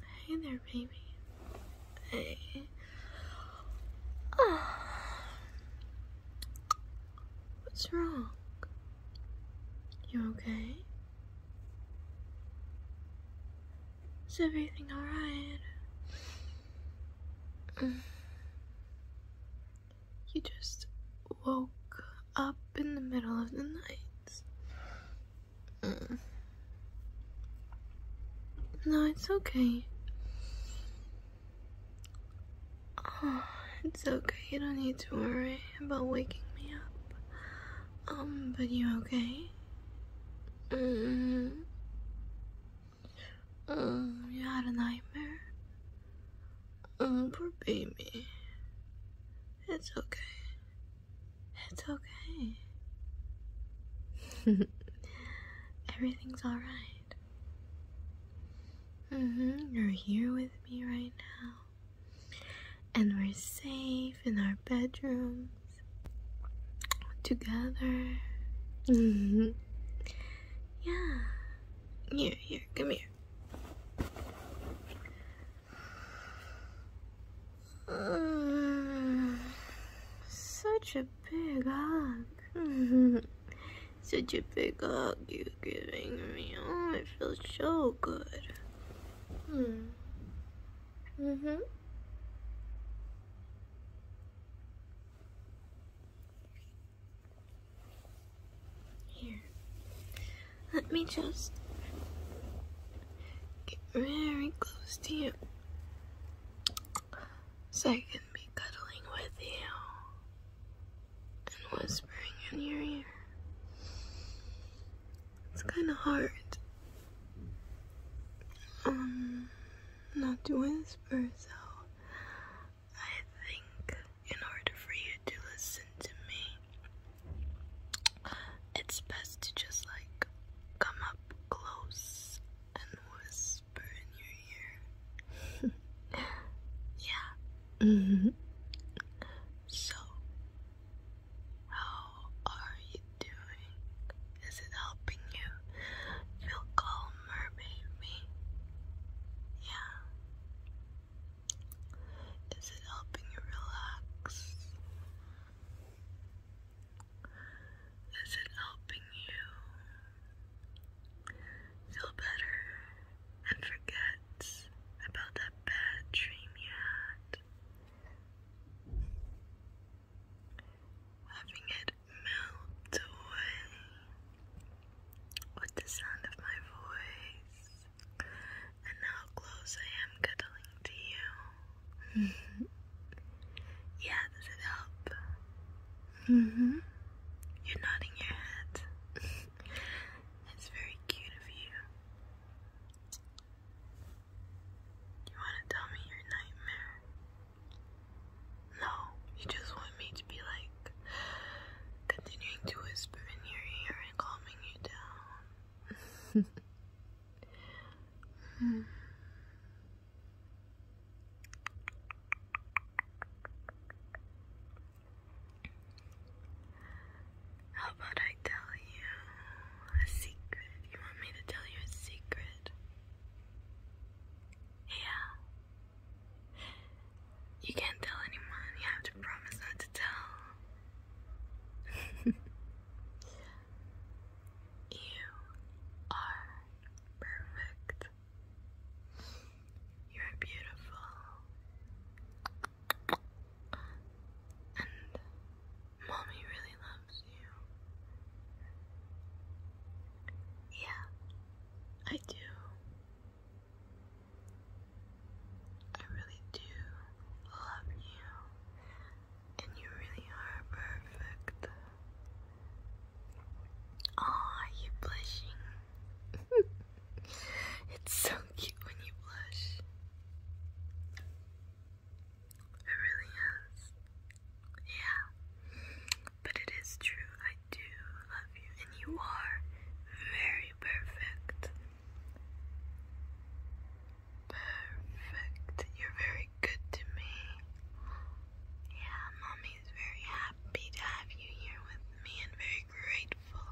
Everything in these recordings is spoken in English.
Hey there, baby. Hey. Oh. What's wrong? You okay? Is everything alright? You just woke up in the middle of the night. Mm. No, it's okay. Ah, it's okay. You don't need to worry about waking me up. Um, but you okay? Mm. Mm, you had a nightmare? Mm, poor baby. It's okay. It's okay. Everything's alright. Mm-hmm. you're here with me right now. And we're safe in our bedrooms together. Mm-hmm. yeah. Here, here, come here. Uh, such a big hug. such a big hug you're giving me. Oh, it feels so good. Mm. hmm mm-hmm. Here. Let me just get very close to you so I can be cuddling with you and whispering in your ear. It's kind of hard um, not to whisper, so I think in order for you to listen to me, it's best to just like come up close and whisper in your ear. yeah. So, how are you doing? Is it helping you feel calmer, baby? Yeah. Is it helping you relax? Is it helping you feel better and forget about that bad dream you Having it melt away with the sound of my voice and how close I am cuddling to you. yeah, does it help? Mm-hmm. You're nodding your head. it's very cute of you. You want to tell me your nightmare? No, you just want me to be like continuing to whisper in your ear and calming you down. Hmm. How about I tell you a secret? You want me to tell you a secret? Yeah. You can't tell anyone. You have to promise not to tell you are perfect. You're beautiful. And mommy really loves you. Yeah, I do. I really do love you and you really are perfect. Aw, oh, you blushing. it's so cute when you blush. It really is. Yeah. But it is true, I do love you, and you are very perfect. Perfect. You're very good to me. Yeah, mommy's very happy to have you here with me and very grateful.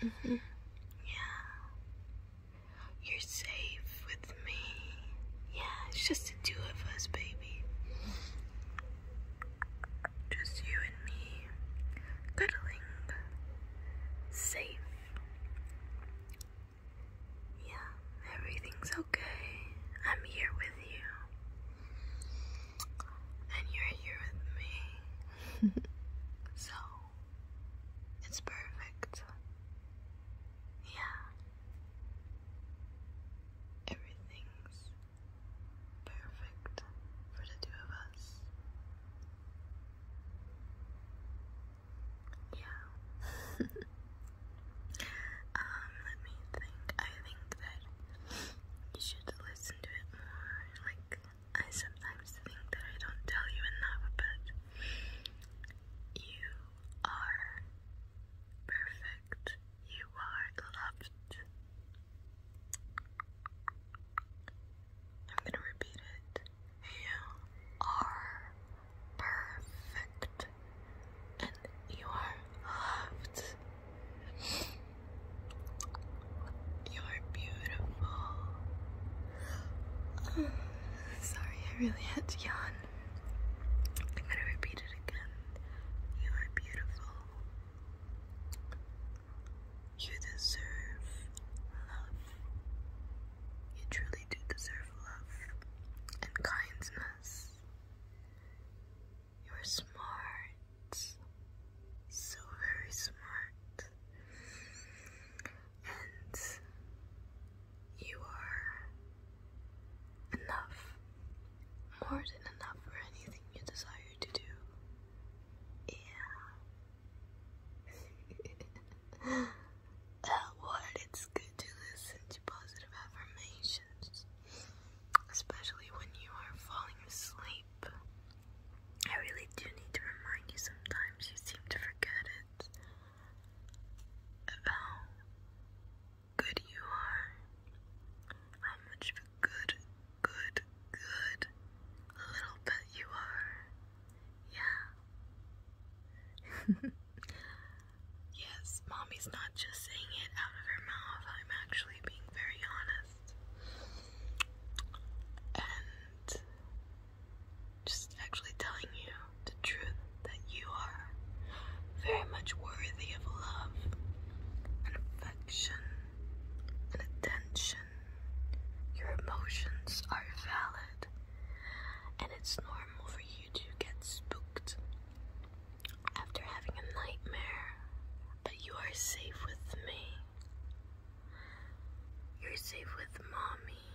hmm Yeah. You're safe with me. Yeah, it's just the two of us, baby. Just you and me. Cuddling. Safe. Yeah, everything's okay. I'm here with you. And you're here with me. so, it's perfect. Yeah. Everything's perfect for the two of us yeah. um, let me think. I think that you should listen to it more. Like, I sometimes think that I don't tell you enough, but you are perfect. You are loved. I'm gonna repeat it. You are perfect and you are loved. You are beautiful. Sorry, I really had to yawn. I'm gonna repeat it again. You are beautiful. You deserve love. You truly do deserve love and kindness. You are smart, so very smart, and you are enough, more than enough for anything you desire to do. Yeah. what it's good to listen to positive affirmations, especially when you are falling asleep. I really do need to remind you sometimes, you seem to forget it. About how good you are, how much of good, good, good little pet you are. Yeah. yes, mommy's not just saying it out of her mouth. I'm actually being very honest. And just actually telling you the truth that you are very much worthy of love and affection and attention. Your emotions are valid and it's normal for you to get spooked after having a nightmare, but you are safe with me. You're safe with mommy.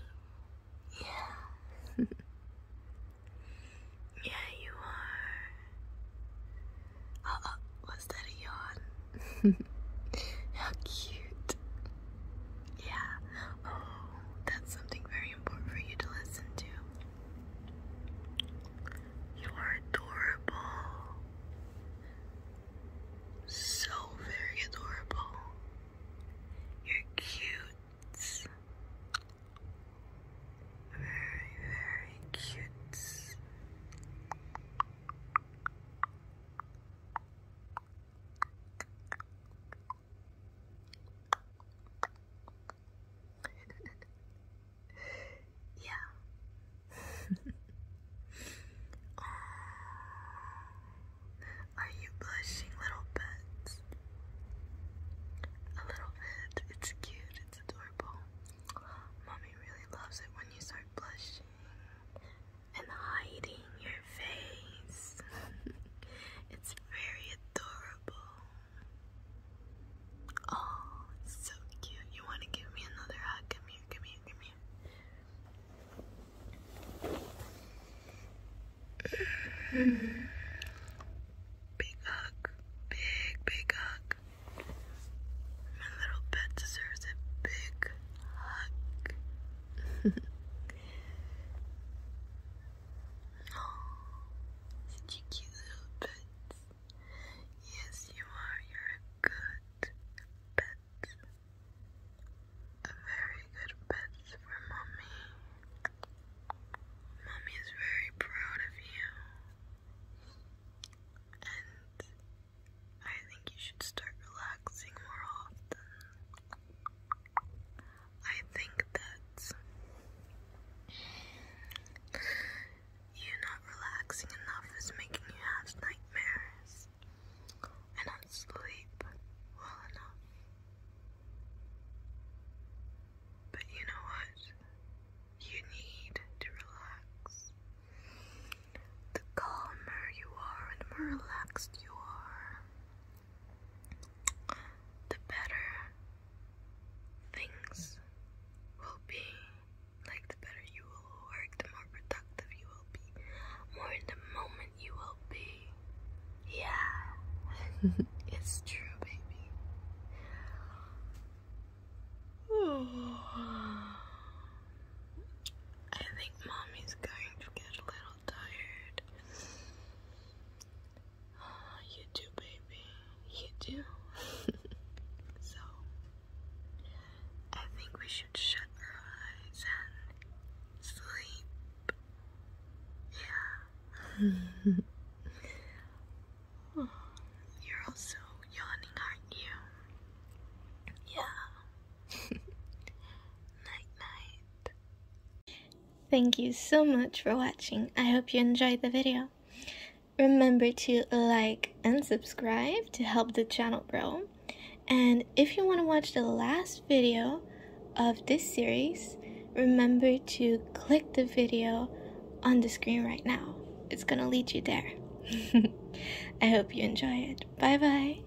Yeah. yeah, you are. Uh oh, that a yawn? How cute. Yeah. Oh, that's something very important for you to listen to. You are adorable. So very adorable. You're cute. Very, very cute yeah. oh, are you blushing, little pets? A little bit. It's cute. It's adorable. Mommy really loves it when you start blushing and hiding your face. it's very adorable. Oh, so cute. You want to give me another hug? Come here, come here, come here. big hug. Big, big hug. My little pet deserves a big hug. Oh, such cute little pet. Yes, you are. You're a good pet. A very good pet for mommy. Mommy is very proud of you. And I think you should start relaxing more often. I think that you not relaxing enough is making you have nightmares and not sleep well enough. But you know what? You need to relax. The calmer you are and more relaxed you are, the better things will be. Like, the better you will work, the more productive you will be, more in the moment you will be. Yeah, it's true, baby. I think mommy's going to get a little tired. Ah, you too, baby. You too. so, I think we should shut our eyes and sleep. Yeah. Oh, you're also yawning, aren't you? Yeah. night, night. Thank you so much for watching. I hope you enjoyed the video. Remember to like and subscribe to help the channel grow. And if you want to watch the last video of this series, remember to click the video on the screen right now. It's gonna lead you there. I hope you enjoy it. Bye bye.